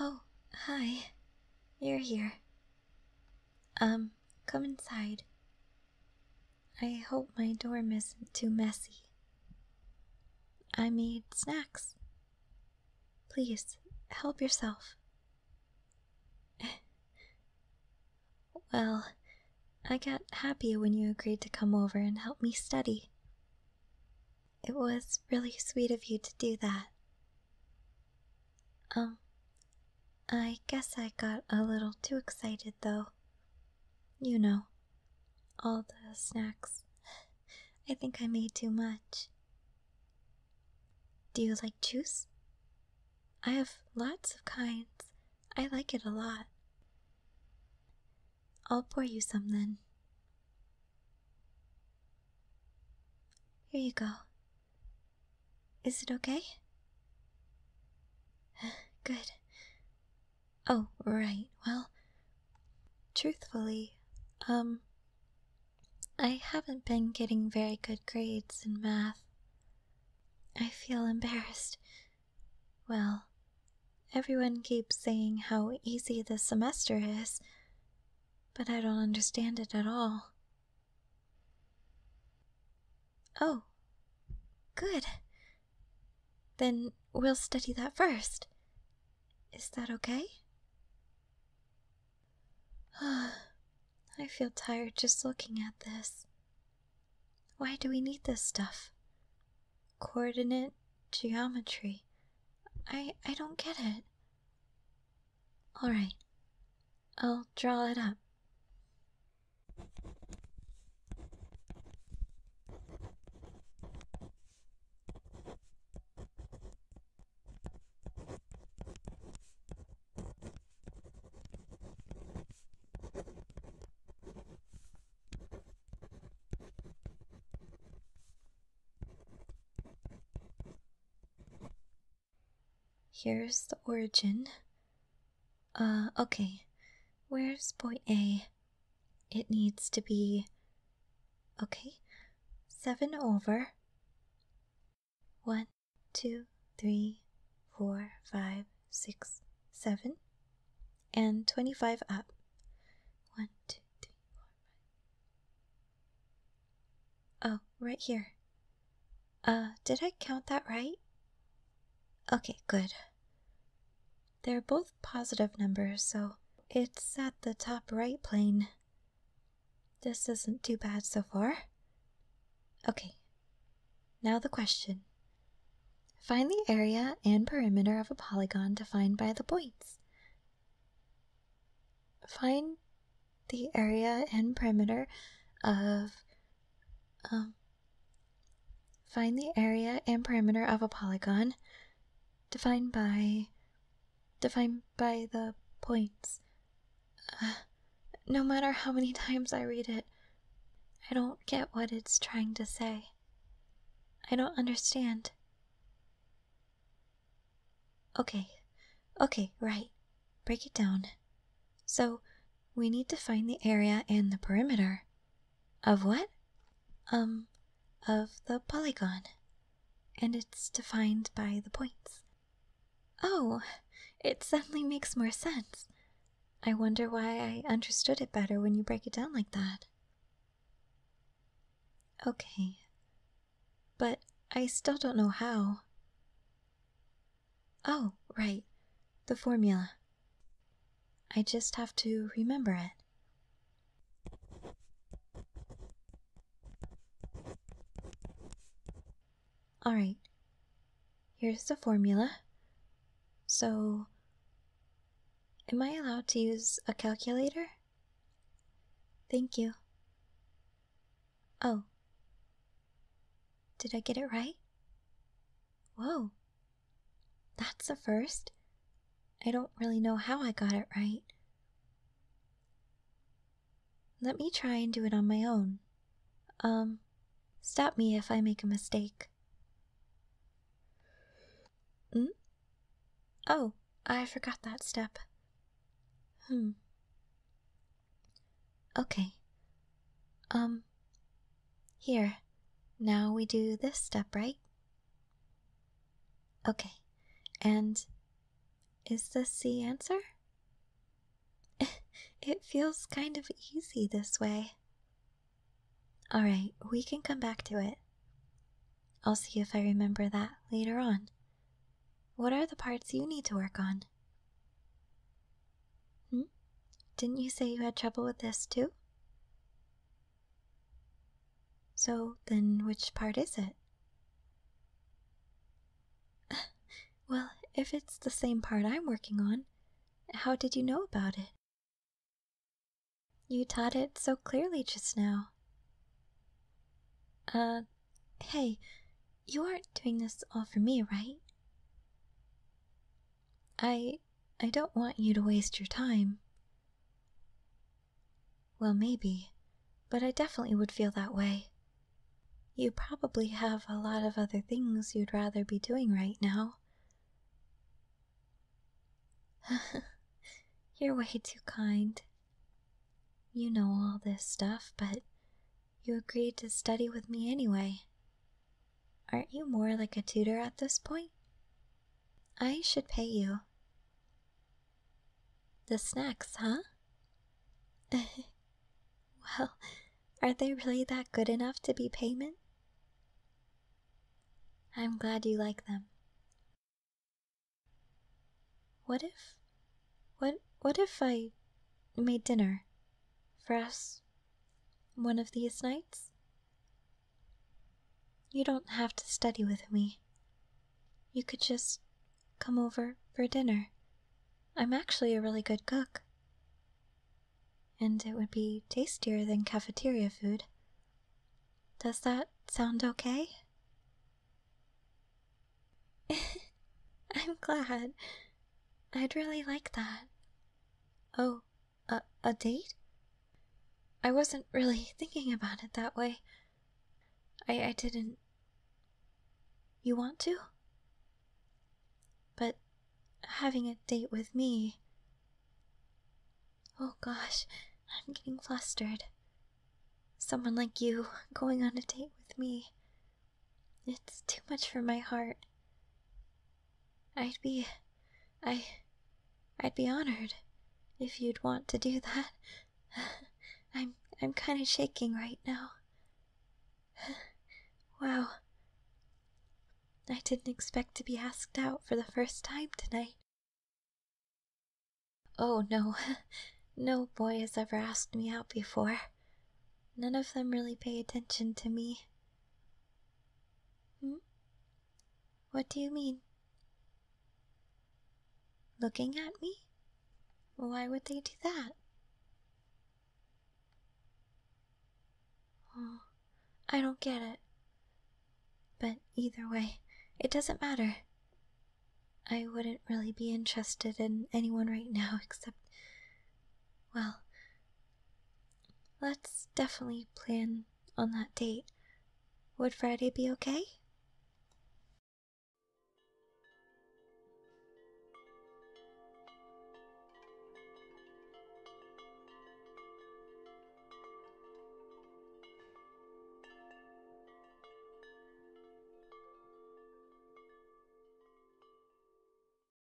Oh, hi. You're here. Um, come inside. I hope my dorm isn't too messy. I made snacks. Please, help yourself. well, I got happier when you agreed to come over and help me study. It was really sweet of you to do that. Um, I guess I got a little too excited though. You know, all the snacks. I think I made too much. Do you like juice? I have lots of kinds. I like it a lot. I'll pour you some then. Here you go. Is it okay? Good. Oh, right. Well, truthfully, um, I haven't been getting very good grades in math. I feel embarrassed. Well, everyone keeps saying how easy the semester is, but I don't understand it at all. Oh, good. Then we'll study that first. Is that okay? I feel tired just looking at this. Why do we need this stuff? Coordinate geometry. I I don't get it. All right. I'll draw it up. Here's the origin. Uh, okay. Where's boy A? It needs to be. Okay. 7 over one, two, three, four, five, six, seven, and 25 up. One, two, three, four, five. Oh, right here. Uh, did I count that right? Okay, good. They're both positive numbers, so it's at the top right plane. This isn't too bad so far. Okay, now the question. Find the area and perimeter of a polygon defined by the points. Find the area and perimeter of um, find the area and perimeter of a polygon defined by defined by the points. Uh, no matter how many times I read it, I don't get what it's trying to say. I don't understand. Okay, okay, right. Break it down. So, we need to find the area and the perimeter. Of what? Um, of the polygon, and it's defined by the points. Oh, it suddenly makes more sense. I wonder why I understood it better when you break it down like that. Okay, but I still don't know how. Oh, right, the formula. I just have to remember it. Alright, here's the formula. So, am I allowed to use a calculator? Thank you. Oh. Did I get it right? Whoa. That's the first. I don't really know how I got it right. Let me try and do it on my own. Um, stop me if I make a mistake. Hmm? Oh, I forgot that step. Hmm. Okay. Um, here. Now we do this step, right? Okay, and is this the answer? it feels kind of easy this way. Alright, we can come back to it. I'll see if I remember that later on. What are the parts you need to work on? Hmm? Didn't you say you had trouble with this too? So then, which part is it? well, if it's the same part I'm working on, how did you know about it? You taught it so clearly just now. Uh, hey, you aren't doing this all for me, right? I I don't want you to waste your time. Well, maybe, but I definitely would feel that way. You probably have a lot of other things you'd rather be doing right now. You're way too kind. You know all this stuff, but you agreed to study with me anyway. Aren't you more like a tutor at this point? I should pay you. The snacks, huh? well, are they really that good enough to be payment? I'm glad you like them. What if what what if I made dinner for us one of these nights? You don't have to study with me. You could just come over for dinner. I'm actually a really good cook. And it would be tastier than cafeteria food. Does that sound okay? I'm glad. I'd really like that. Oh, a, a date? I wasn't really thinking about it that way. I, I didn't. You want to? But having a date with me. Oh gosh, I'm getting flustered. Someone like you going on a date with me. It's too much for my heart. I'd be. I. I'd be honored if you'd want to do that. I'm. I'm kind of shaking right now. wow. I didn't expect to be asked out for the first time tonight. Oh no, no boy has ever asked me out before. None of them really pay attention to me. Hmm? What do you mean? Looking at me? Why would they do that? Oh, I don't get it. But either way, it doesn't matter. I wouldn't really be interested in anyone right now except. Well, Let's definitely plan on that date. Would Friday be okay?